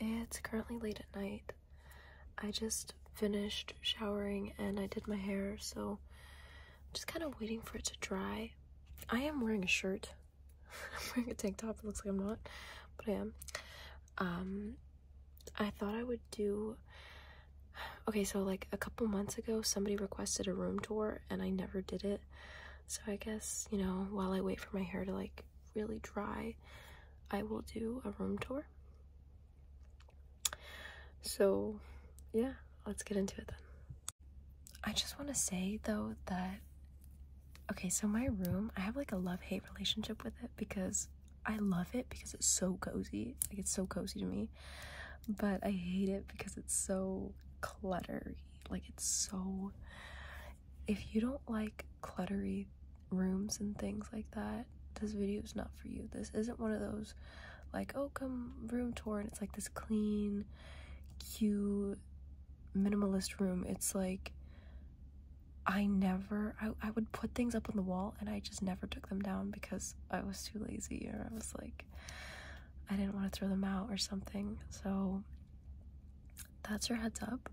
It's currently late at night. I just finished showering and I did my hair, so I'm just kind of waiting for it to dry. I am wearing a shirt. I'm wearing a tank top. It looks like I'm not, but I am. Um, I thought I would do. Okay, so like a couple months ago, somebody requested a room tour and I never did it. So I guess, you know, while I wait for my hair to like really dry, I will do a room tour. So, yeah, let's get into it then. I just want to say though that okay, so my room, I have like a love-hate relationship with it because I love it because it's so cozy. Like it's so cozy to me. But I hate it because it's so cluttery. Like it's so if you don't like cluttery rooms and things like that, this video is not for you. This isn't one of those like, oh come room tour and it's like this clean, cute, minimalist room. It's like I never I, I would put things up on the wall and I just never took them down because I was too lazy or I was like I didn't want to throw them out or something. So that's your heads up.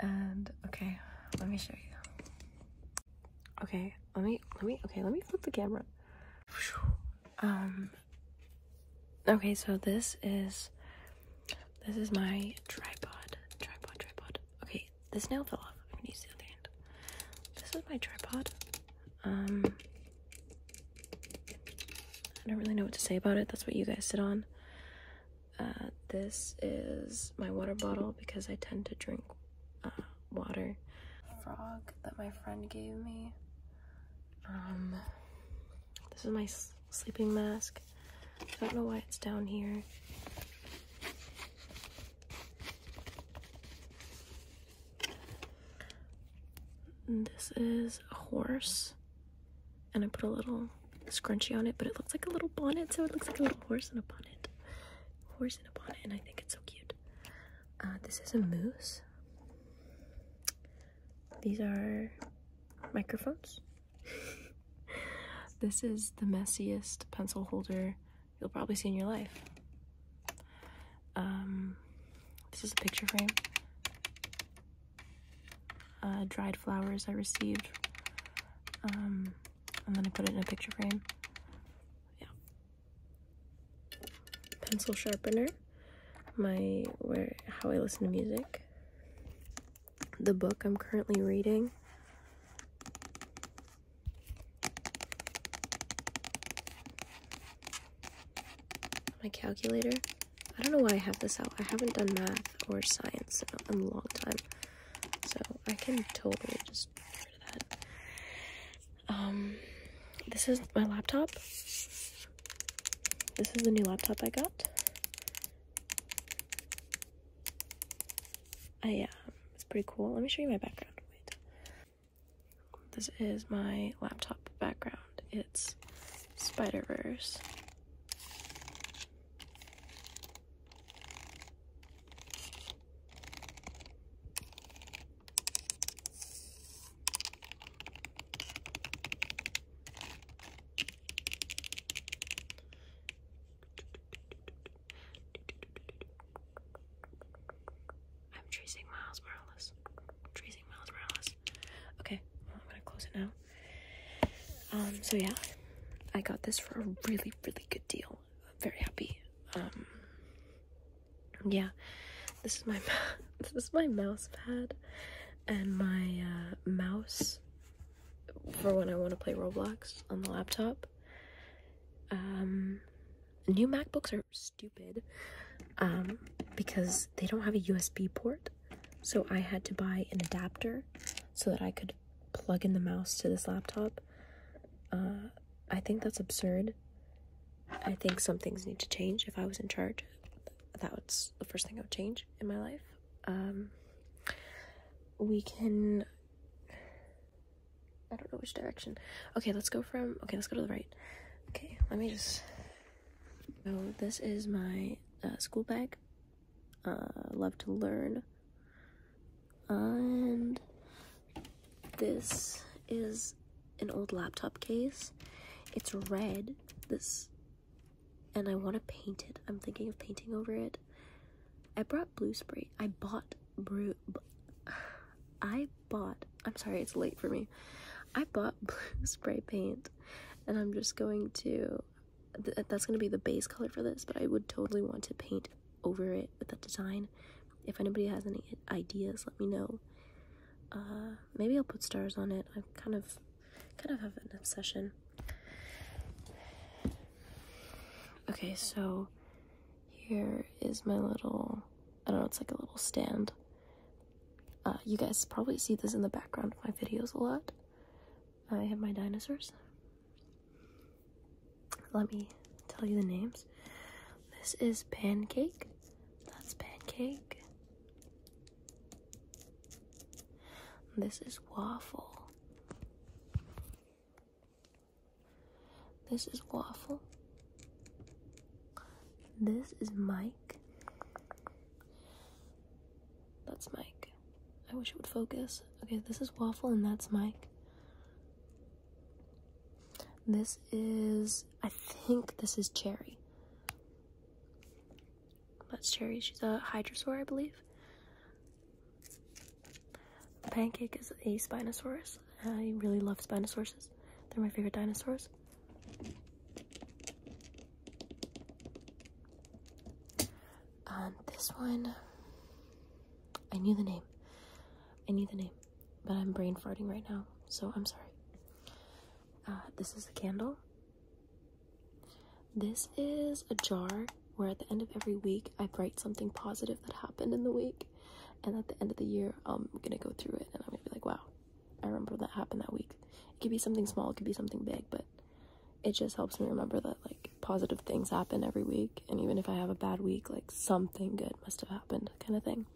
And okay, let me show you. Okay, let me let me okay, let me flip the camera. Um Okay, so this is this is my tripod. Tripod, tripod. Okay, this nail fell off. I'm gonna use the other end. This is my tripod. Um I don't really know what to say about it. That's what you guys sit on. Uh, this is my water bottle because I tend to drink uh, water. Frog that my friend gave me. this is my sleeping mask. I don't know why it's down here. This is a horse, and I put a little scrunchie on it, but it looks like a little bonnet, so it looks like a little horse in a bonnet. Horse in a bonnet, and I think it's so cute. Uh, this is a moose. These are microphones. this is the messiest pencil holder you'll probably see in your life. Um, this is a picture frame. Uh, dried flowers I received. Um, and then i put it in a picture frame. Yeah. Pencil sharpener. My where how I listen to music. The book I'm currently reading. My calculator. I don't know why I have this out. I haven't done math or science in a long time. So I can totally just get that. Um, this is my laptop. This is the new laptop I got. I, um, it's pretty cool. Let me show you my background. This is my laptop background. It's Spider-Verse. I'm tracing Miles Morales. Tracing Miles Morales. Okay, I'm gonna close it now. Um, so yeah, I got this for a really, really good deal. very happy. Um, yeah, this is my this is my mouse pad and my uh, mouse for when I want to play Roblox on the laptop. Um, new MacBooks are stupid. Um, because they don't have a USB port. So I had to buy an adapter so that I could plug in the mouse to this laptop. Uh, I think that's absurd. I think some things need to change. If I was in charge, that was the first thing I would change in my life. Um, we can. I don't know which direction. Okay, let's go from. Okay, let's go to the right. Okay, let me just so this is my uh, school bag. Uh, love to learn. And this is an old laptop case. It's red. This and I want to paint it. I'm thinking of painting over it. I brought blue spray. I bought blue. I bought, I'm sorry, it's late for me. I bought blue spray paint and I'm just going to, that's going to be the base color for this, but I would totally want to paint over it with that design. If anybody has any ideas, let me know. Uh, maybe I'll put stars on it. I'm kind of, kind of have an obsession. Okay, so here is my little, I don't know, it's like a little stand uh, you guys probably see this in the background of my videos a lot. I have my dinosaurs. Let me tell you the names. This is Pancake. That's Pancake. This is Waffle. This is Waffle. This is Mike. That's Mike. I wish it would focus. Okay, this is Waffle and that's Mike. This is, I think this is Cherry. That's Cherry. She's a Hydrosaur, I believe. Pancake is a Spinosaurus. I really love Spinosaurus. They're my favorite dinosaurs. Um, this one, I knew the name. I knew the name, but I'm brain farting right now, so I'm sorry. Uh, this is the candle. This is a jar where at the end of every week I write something positive that happened in the week, and at the end of the year I'm gonna go through it and I'm gonna be like, wow, I remember that happened that week. It could be something small, it could be something big, but it just helps me remember that like positive things happen every week and even if I have a bad week, like something good must have happened kind of thing.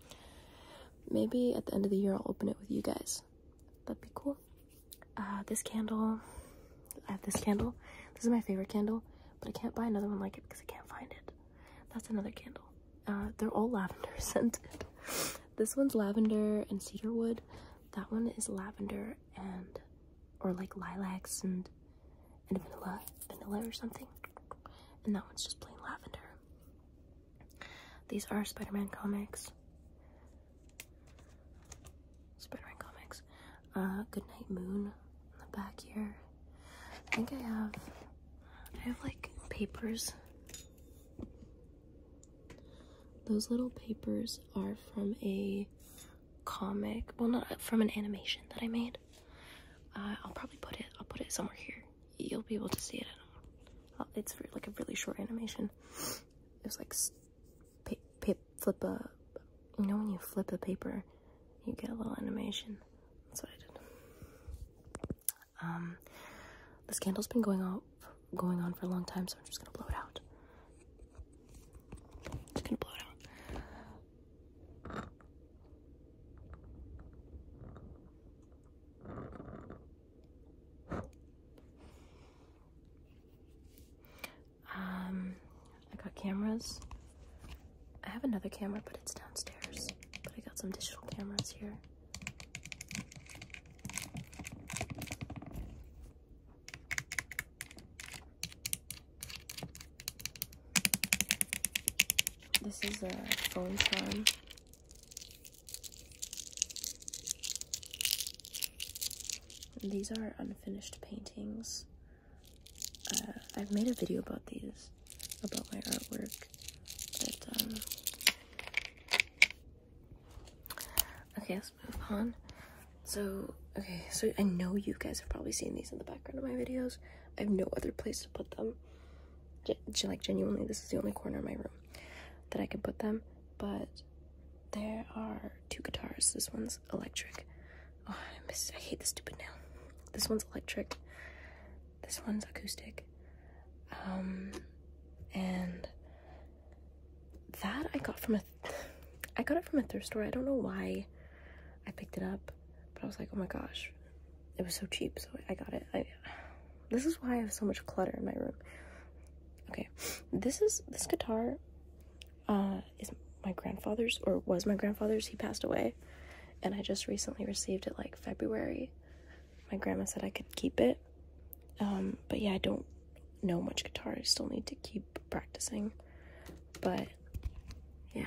Maybe at the end of the year I'll open it with you guys. That'd be cool. Uh, this candle, I have this candle. This is my favorite candle, but I can't buy another one like it because I can't find it. That's another candle. Uh, they're all lavender scented. this one's lavender and cedarwood. That one is lavender and or like lilacs and and vanilla, vanilla or something. And that one's just plain lavender. These are Spider-Man comics. Spider-Man comics. Uh, Goodnight Moon in the back here. I think I have I have like papers those little papers are from a comic, well, not from an animation that I made. Uh, I'll probably put it, I'll put it somewhere here. You'll be able to see it. Uh, it's like a really short animation. It's like flip a, you know, when you flip a paper, you get a little animation. That's what I did. Um, this candle's been going on going on for a long time, so I'm just gonna blow it out. Just gonna blow out. Um, I got cameras. I have another camera, but it's downstairs. But I got some digital cameras here. This is a phone call. these are unfinished paintings. Uh, I've made a video about these, about my artwork, but um, Okay, let's move on. So, okay, so I know you guys have probably seen these in the background of my videos. I have no other place to put them. G like, genuinely, this is the only corner of my room that I can put them. But there are two guitars. This one's electric. Oh, I, miss, I hate this stupid nail. This one's electric. This one's acoustic. Um, and that I got from a, I got it from a thrift store. I don't know why I picked it up, but I was like, oh my gosh, it was so cheap, so I got it. I, this is why I have so much clutter in my room. Okay, this is this guitar uh, is my grandfather's or was my grandfather's. He passed away, and I just recently received it like February, my grandma said I could keep it. Um, but yeah, I don't know much guitar. I still need to keep practicing. But yeah.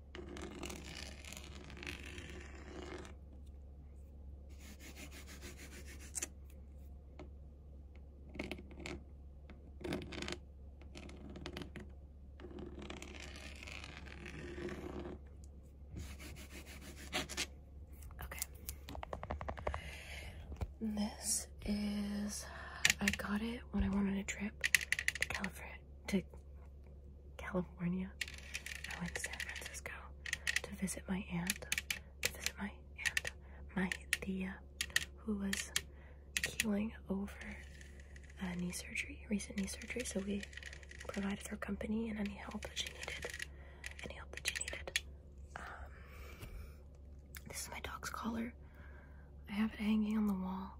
Okay. This is I got it when I went on a trip to California to California. I went to San Francisco to visit my aunt, to visit my aunt, my Thea, who was healing over uh, knee surgery, recent knee surgery. So we provided her company and any help that she needed, any help that she needed. Um, this is my dog's collar. I have it hanging on the wall.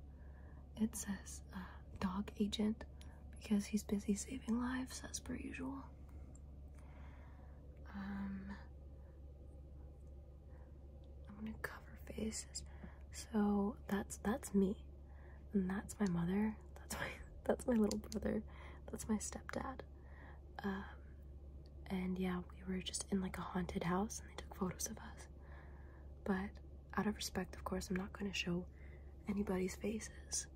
It says uh, dog agent because he's busy saving lives as per usual. Um, I'm gonna cover faces. So that's that's me, and that's my mother. That's my that's my little brother. That's my stepdad. Um, and yeah, we were just in like a haunted house, and they took photos of us. But out of respect, of course, I'm not gonna show anybody's faces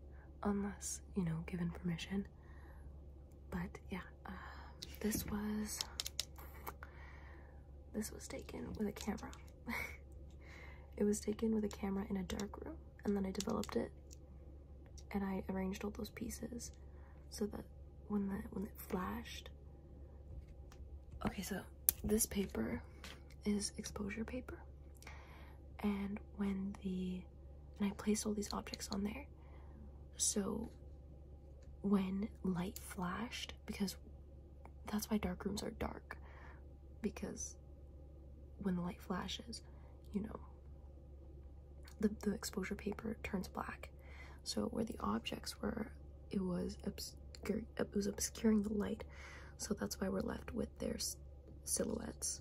unless, you know, given permission. But yeah, um, this was this was taken with a camera. it was taken with a camera in a dark room and then I developed it and I arranged all those pieces so that when the when it flashed Okay, so this paper is exposure paper and when the and I placed all these objects on there so when light flashed because that's why dark rooms are dark because when the light flashes you know the, the exposure paper turns black so where the objects were it was obscure it was obscuring the light so that's why we're left with there's silhouettes,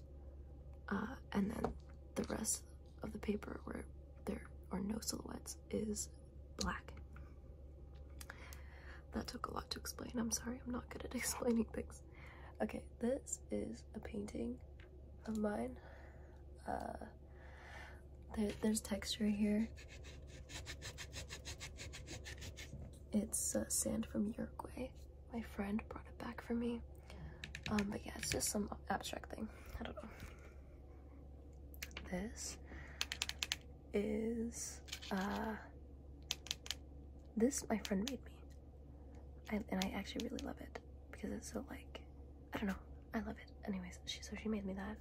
uh, and then the rest of the paper where there are no silhouettes is black. That took a lot to explain. I'm sorry, I'm not good at explaining things. Okay, this is a painting of mine. Uh, there's texture here. It's uh, sand from Uruguay. My friend brought it back for me. Um, but yeah, it's just some abstract thing. I don't know. This is, uh, this my friend made me. and I actually really love it because it's so like, I don't know. I love it. Anyways, she, so she made me that.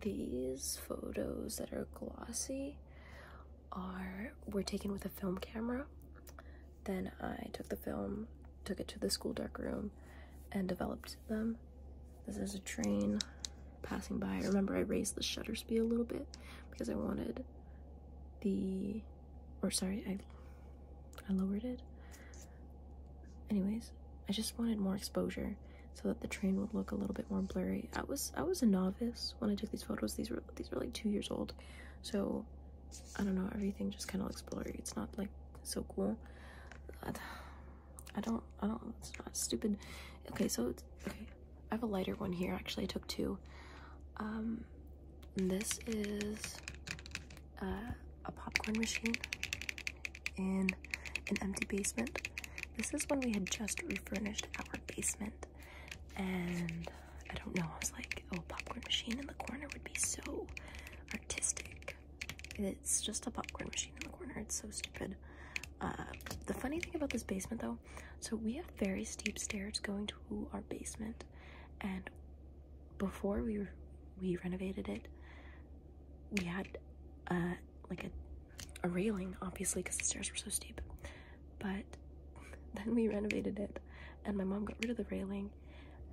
These photos that are glossy are were taken with a film camera. Then I took the film, took it to the school dark room, and developed them. This is a train passing by. Remember, I raised the shutter speed a little bit because I wanted the, or sorry, I, I lowered it. Anyways, I just wanted more exposure so that the train would look a little bit more blurry. I was I was a novice when I took these photos. These were these are like two years old so i don't know everything just kind of looks blurry it's not like so cool i don't i don't it's not stupid okay so it's okay i have a lighter one here actually i took two um this is uh, a popcorn machine in an empty basement this is when we had just refurnished our basement and I don't know, I was like, oh, popcorn machine in the corner would be so artistic. It's just a popcorn machine in the corner. It's so stupid. Uh, the funny thing about this basement, though, so we have very steep stairs going to our basement, and before we we renovated it, we had uh, like a, a railing, obviously, because the stairs were so steep but then we renovated it and my mom got rid of the railing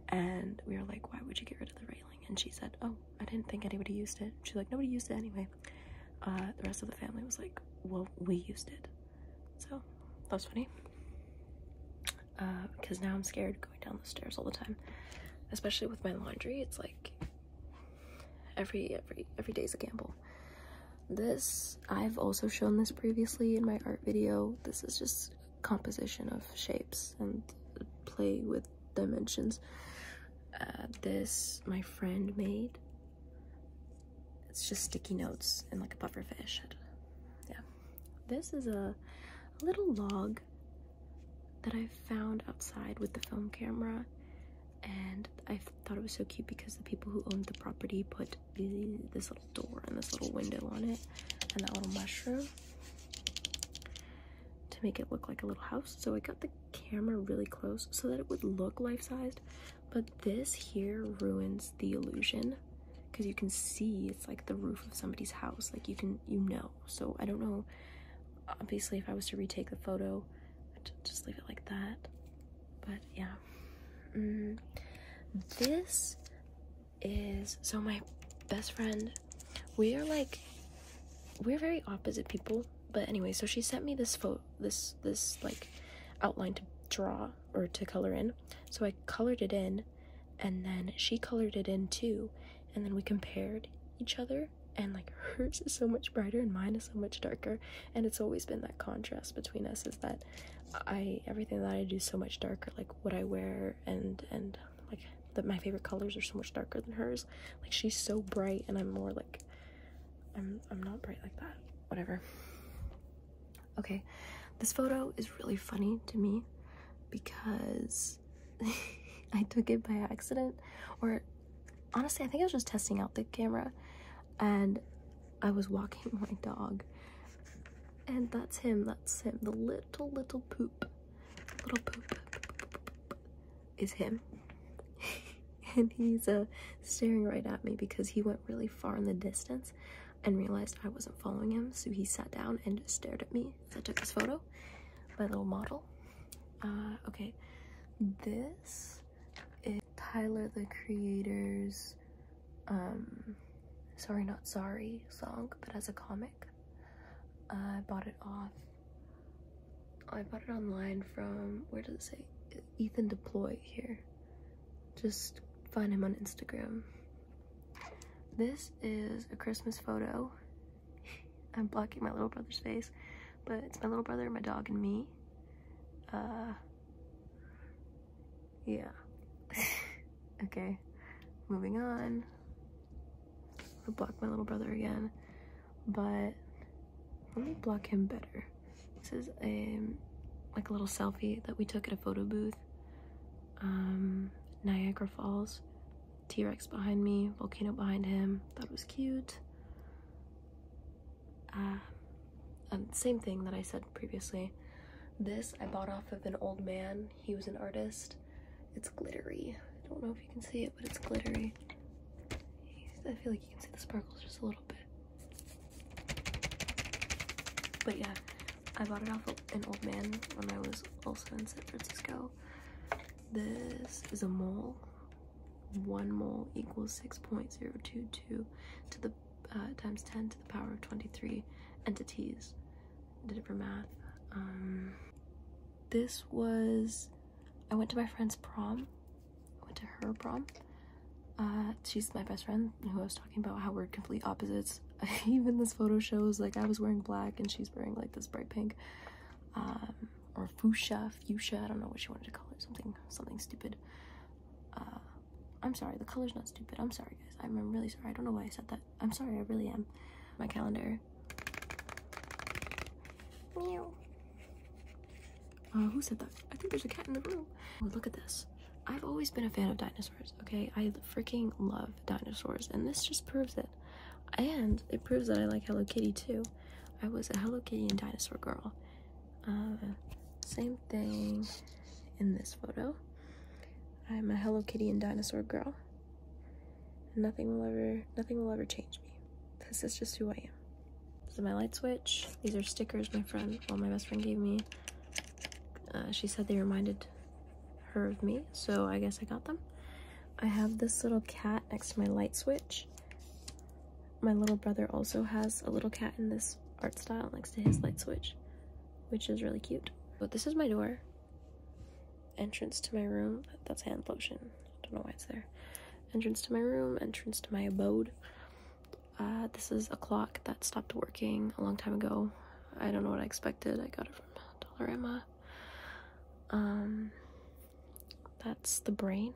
and we were like why would you get rid of the railing and she said oh i didn't think anybody used it she's like nobody used it anyway uh, the rest of the family was like well we used it so that was funny because uh, now i'm scared going down the stairs all the time especially with my laundry it's like every every every day is a gamble this, I've also shown this previously in my art video. This is just composition of shapes and play with dimensions. Uh, this, my friend made. It's just sticky notes and like a pufferfish. Yeah. This is a, a little log that I found outside with the film camera and I thought it was so cute because the people who owned the property put this little door and this little window on it and that little mushroom to make it look like a little house. So I got the camera really close so that it would look life-sized, but this here ruins the illusion because you can see it's like the roof of somebody's house. Like you can, you know. So I don't know. Obviously, if I was to retake the photo, just leave it like that. But yeah, Mm, this is so my best friend we are like we're very opposite people but anyway so she sent me this photo this this like outline to draw or to color in so i colored it in and then she colored it in too and then we compared each other and like hers is so much brighter and mine is so much darker and it's always been that contrast between us is that i everything that i do so much darker like what i wear and and like that my favorite colors are so much darker than hers like she's so bright and i'm more like i'm i'm not bright like that whatever okay this photo is really funny to me because I took it by accident or honestly I think I was just testing out the camera and I was walking my dog. And that's him, that's him. The little, little poop. Little poop, is him. and he's uh, staring right at me because he went really far in the distance and realized I wasn't following him. So he sat down and just stared at me. So I took this photo, my little model. Uh, okay, this is Tyler the Creator's um, Sorry Not Sorry song, but as a comic. I bought it off. I bought it online from, where does it say? Ethan Deploy here. Just find him on Instagram. This is a Christmas photo. I'm blocking my little brother's face, but it's my little brother, my dog, and me. Uh, yeah. okay, moving on. I block my little brother again, but let me block him better. This is a like a little selfie that we took at a photo booth. Um, Niagara Falls, T-Rex behind me, volcano behind him. Thought it was cute. Uh, um, same thing that I said previously. This I bought off of an old man. He was an artist. It's glittery. I don't know if you can see it, but it's glittery. I feel like you can see the sparkles just a little bit. But yeah, I bought it off of an old man when I was also in San Francisco. This is a mole. 1 mole equals 6.022 to the uh, times 10 to the power of 23 entities. did it for math. Um, this was, I went to my friend's prom. I went to her prom. Uh, she's my best friend who I was talking about how we're complete opposites. Even this photo shows like I was wearing black and she's wearing like this bright pink. Um, or fuchsia, fuchsia, I don't know what she wanted to call it, something, something stupid uh, I'm sorry, the color's not stupid. I'm sorry, guys. I'm, I'm really sorry. I don't know why I said that. I'm sorry, I really am. My calendar. Meow. Uh, who said that? I think there's a cat in the room. Oh, look at this. I've always been a fan of dinosaurs, okay? I freaking love dinosaurs, and this just proves it. And it proves that I like Hello Kitty too. I was a Hello Kitty and dinosaur girl, uh, same thing in this photo. I'm a Hello Kitty and dinosaur girl. Nothing will ever, nothing will ever change me. This is just who I am. This is my light switch. These are stickers my friend, well, my best friend gave me. Uh, she said they reminded her of me, so I guess I got them. I have this little cat next to my light switch. My little brother also has a little cat in this art style next to his light switch, which is really cute. But this is my door. Entrance to my room. That's hand lotion. I don't know why it's there. Entrance to my room, entrance to my abode. Uh, this is a clock that stopped working a long time ago. I don't know what I expected. I got it from Dollarama. Um, that's the brain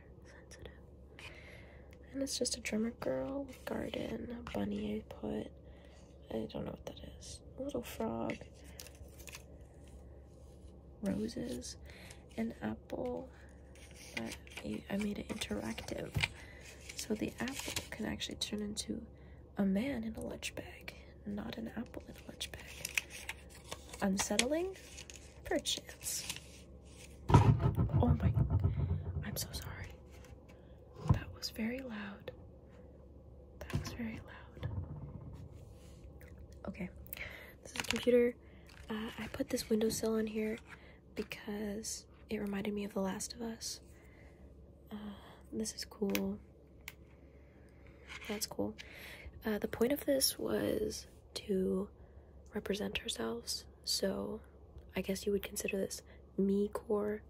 and it's just a drummer girl garden, bunny I put. I don't know what that is. A little frog. Roses. An apple. I made it interactive. So the apple can actually turn into a man in a lunch bag, not an apple in a lunch bag. Unsettling? Perchance. Oh my, I'm so sorry. That was very loud. That was very loud. Okay, this is a computer. Uh, I put this windowsill on here because it reminded me of The Last of Us. Uh, this is cool. That's cool. Uh, the point of this was to represent ourselves so I guess you would consider this me core.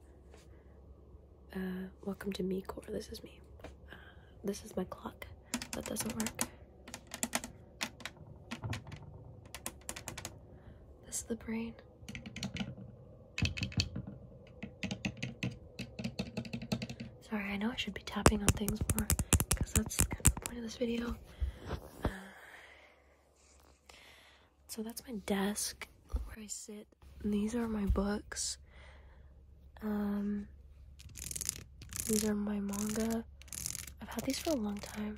Uh, welcome to me core. This is me. Uh, this is my clock. That doesn't work. This is the brain. Sorry, I know I should be tapping on things more because that's kind of the point of this video. Uh, so that's my desk where I sit. these are my books. Um, these are my manga. I've had these for a long time.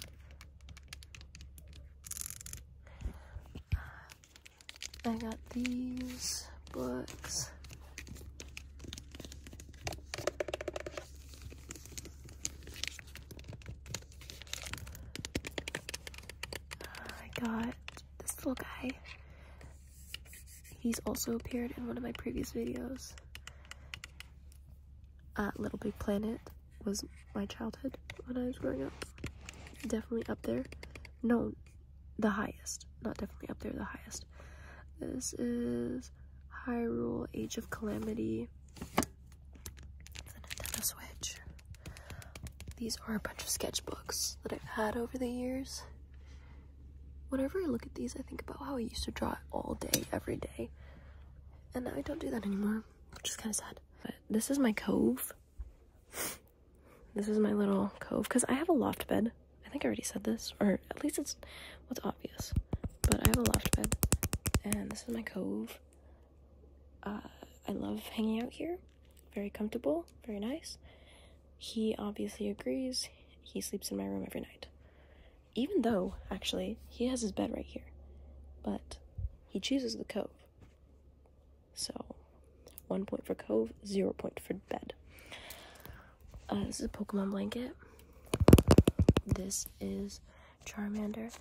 I got these books. I got this little guy. He's also appeared in one of my previous videos. Uh, little Big Planet was my childhood when I was growing up. Definitely up there. No, the highest. Not definitely up there, the highest. This is Hyrule Age of Calamity the Nintendo Switch. These are a bunch of sketchbooks that I've had over the years. Whenever I look at these, I think about how I used to draw all day, every day. And now I don't do that anymore, which is kind of sad. But this is my cove. this is my little cove, because I have a loft bed. I think I already said this, or at least it's what's obvious. But I have a loft bed, and this is my cove. Uh, I love hanging out here. Very comfortable, very nice. He obviously agrees. He sleeps in my room every night. Even though, actually, he has his bed right here. But he chooses the cove. So, one point for cove, zero point for bed. Uh, this is a Pokemon blanket. This is Charmander.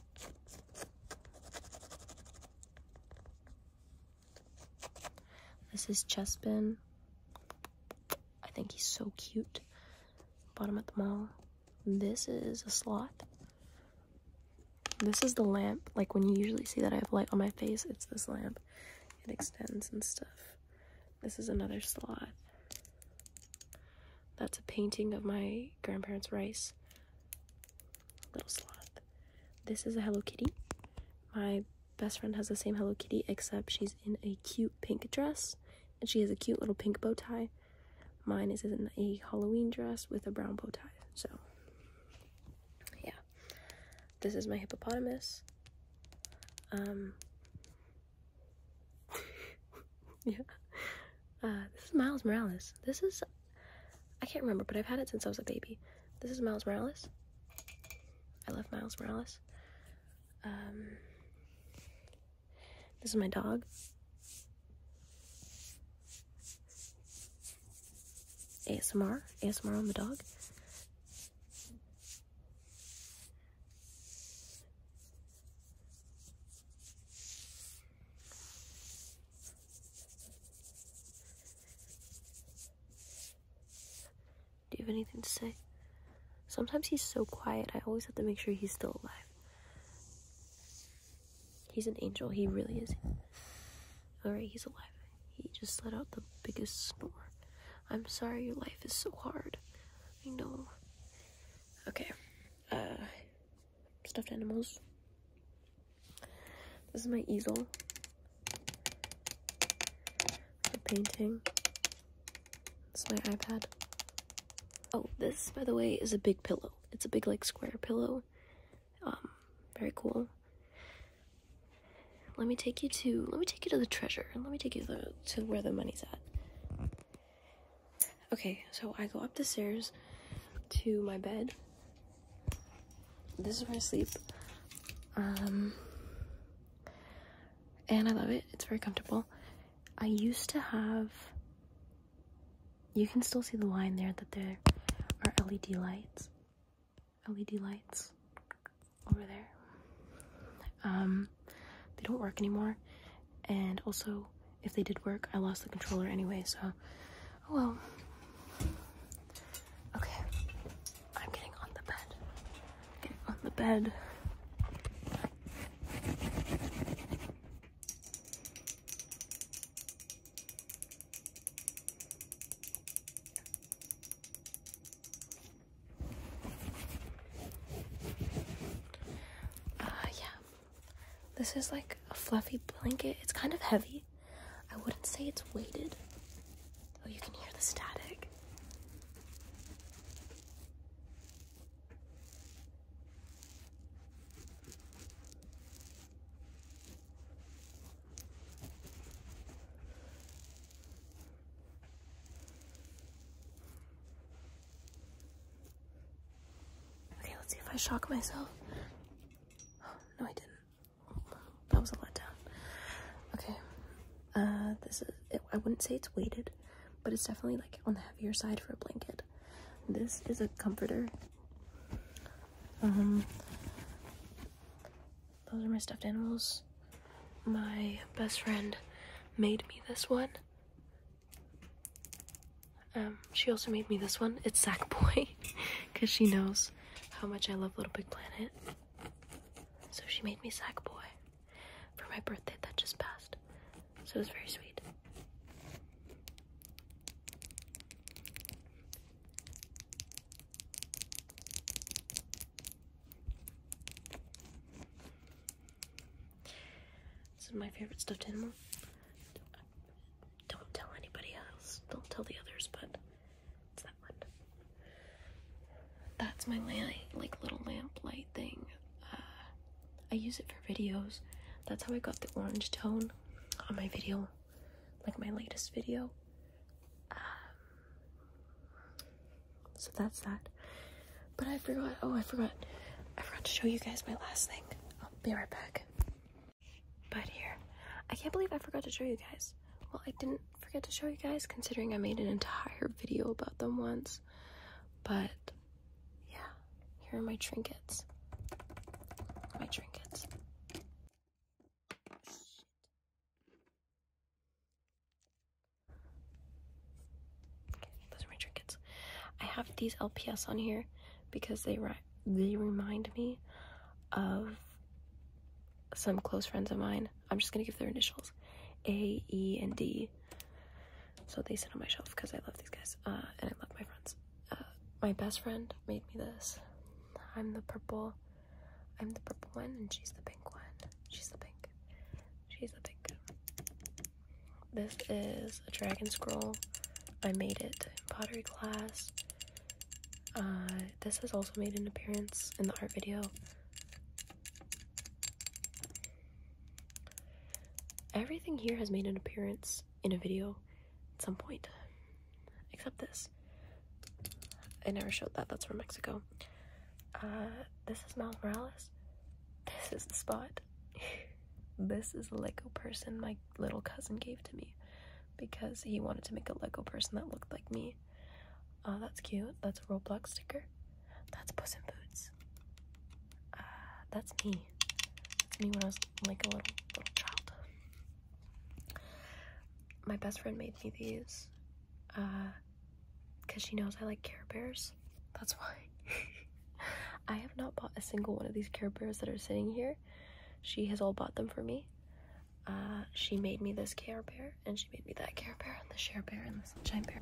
This is Chespin. I think he's so cute. Bought him at the mall. This is a slot. This is the lamp. Like when you usually see that I have light on my face, it's this lamp. It extends and stuff. This is another slot. That's a painting of my grandparents' rice. Little sloth. This is a Hello Kitty. My best friend has the same Hello Kitty, except she's in a cute pink dress and she has a cute little pink bow tie. Mine is in a Halloween dress with a brown bow tie. So, yeah. This is my hippopotamus. Um, yeah. Uh, this is Miles Morales. This is. I can't remember, but I've had it since I was a baby. This is Miles Morales. I love Miles Morales. Um, this is my dog. ASMR. ASMR on the dog. Do you have anything to say? Sometimes he's so quiet, I always have to make sure he's still alive. He's an angel, he really is. Alright, he's alive. He just let out the biggest snore. I'm sorry your life is so hard. I know. Okay uh, stuffed animals. This is my easel. The painting. It's my iPad. Oh, this, by the way, is a big pillow. It's a big, like, square pillow. Um, very cool. Let me take you to, let me take you to the treasure. Let me take you to where the money's at. Okay, so I go up the stairs to my bed. This is where I sleep. Um, and I love it. It's very comfortable. I used to have. You can still see the line there that there are LED lights. LED lights over there. Um, they don't work anymore. And also, if they did work, I lost the controller anyway, so oh well. Okay, I'm getting on the bed. Getting on the bed. Uh, yeah, this is like a fluffy blanket. It's kind of heavy. I wouldn't say it's weighted. Oh, you can hear the static. Okay, let's see if I shock myself. no, I didn't. That was a letdown. Okay. Uh, this is, I wouldn't say it's weighted, but it's definitely like on the heavier side for a blanket. This is a comforter. Um, those are my stuffed animals. My best friend made me this one. Um, she also made me this one. It's Sackboy because she knows how much I love Little Big Planet. So she made me Sackboy for my birthday that just passed. So it was very sweet. This is my favorite stuffed animal. Don't tell anybody else. Don't tell the others, but it's that one. That's my lamp, like little lamp light thing. Uh, I use it for videos. That's how I got the orange tone on my video, like my latest video. Um, so that's that. But I forgot. Oh, I forgot. I forgot to show you guys my last thing. I'll be right back. But here, I can't believe I forgot to show you guys. Well, I didn't forget to show you guys considering I made an entire video about them once. But yeah, here are my trinkets. My trinkets those are my trinkets. I have these LPS on here because they they remind me of some close friends of mine. I'm just gonna give their initials, A, E, and D. So they sit on my shelf because I love these guys uh, and I love my friends. Uh, my best friend made me this. I'm the purple. I'm the purple one and she's the pink one. She's the pink. She's the pink. This is a dragon scroll. I made it in pottery class. Uh, this has also made an appearance in the art video. Everything here has made an appearance in a video at some point, except this. I never showed that, that's from Mexico. Uh, this is Miles Morales. This is the spot. this is a Lego person my little cousin gave to me because he wanted to make a Lego person that looked like me. Uh, that's cute. That's a Roblox sticker. That's Puss in Boots. Uh, that's me. That's me when I was like a little child. My best friend made me these because uh, she knows I like Care Bears. That's why. I have not bought a single one of these Care Bears that are sitting here. She has all bought them for me. Uh, she made me this Care Bear, and she made me that Care Bear, and the Share Bear, and the Sunshine Bear.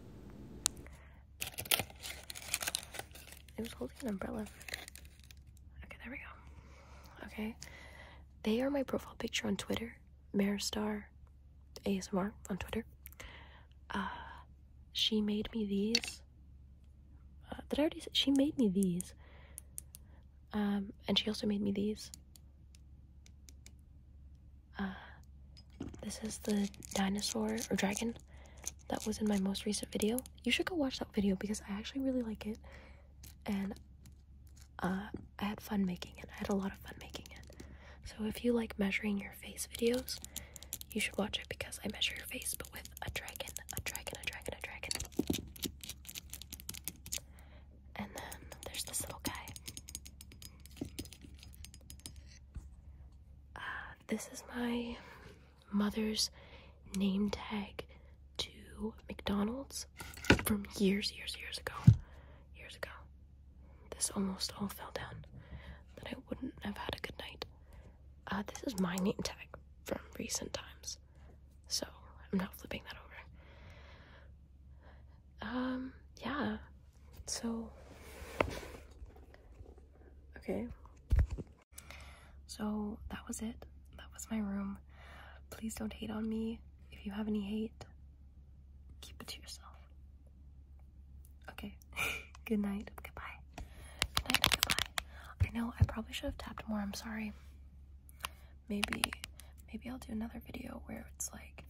It was holding an umbrella. Okay, there we go. Okay. They are my profile picture on Twitter. Star ASMR on Twitter. Uh, she made me these. Uh, did I already say? She made me these. Um, and she also made me these. Uh, this is the dinosaur or dragon that was in my most recent video. You should go watch that video because I actually really like it. And uh, I had fun making it. I had a lot of fun making it. So if you like measuring your face videos, you should watch it because I measure your face, but with a dragon, a dragon, a dragon, a dragon. And then there's this little guy. Uh, this is my mother's name tag to McDonald's from years, years, years ago. Years ago. This almost all fell down. Then I wouldn't have had a good night. Uh, this is my name tag from recent times. So I'm not flipping that over. Um, yeah. So. Okay. So that was it. That was my room. Please don't hate on me. If you have any hate, keep it to yourself. Okay. Good night. Goodbye. Good night. Goodbye. I know I probably should have tapped more. I'm sorry. Maybe maybe I'll do another video where it's like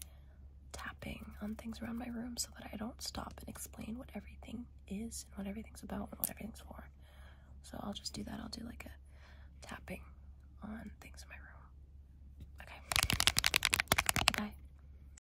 tapping on things around my room so that I don't stop and explain what everything is and what everything's about and what everything's for. So I'll just do that. I'll do like a tapping on things in my room. Okay. Bye.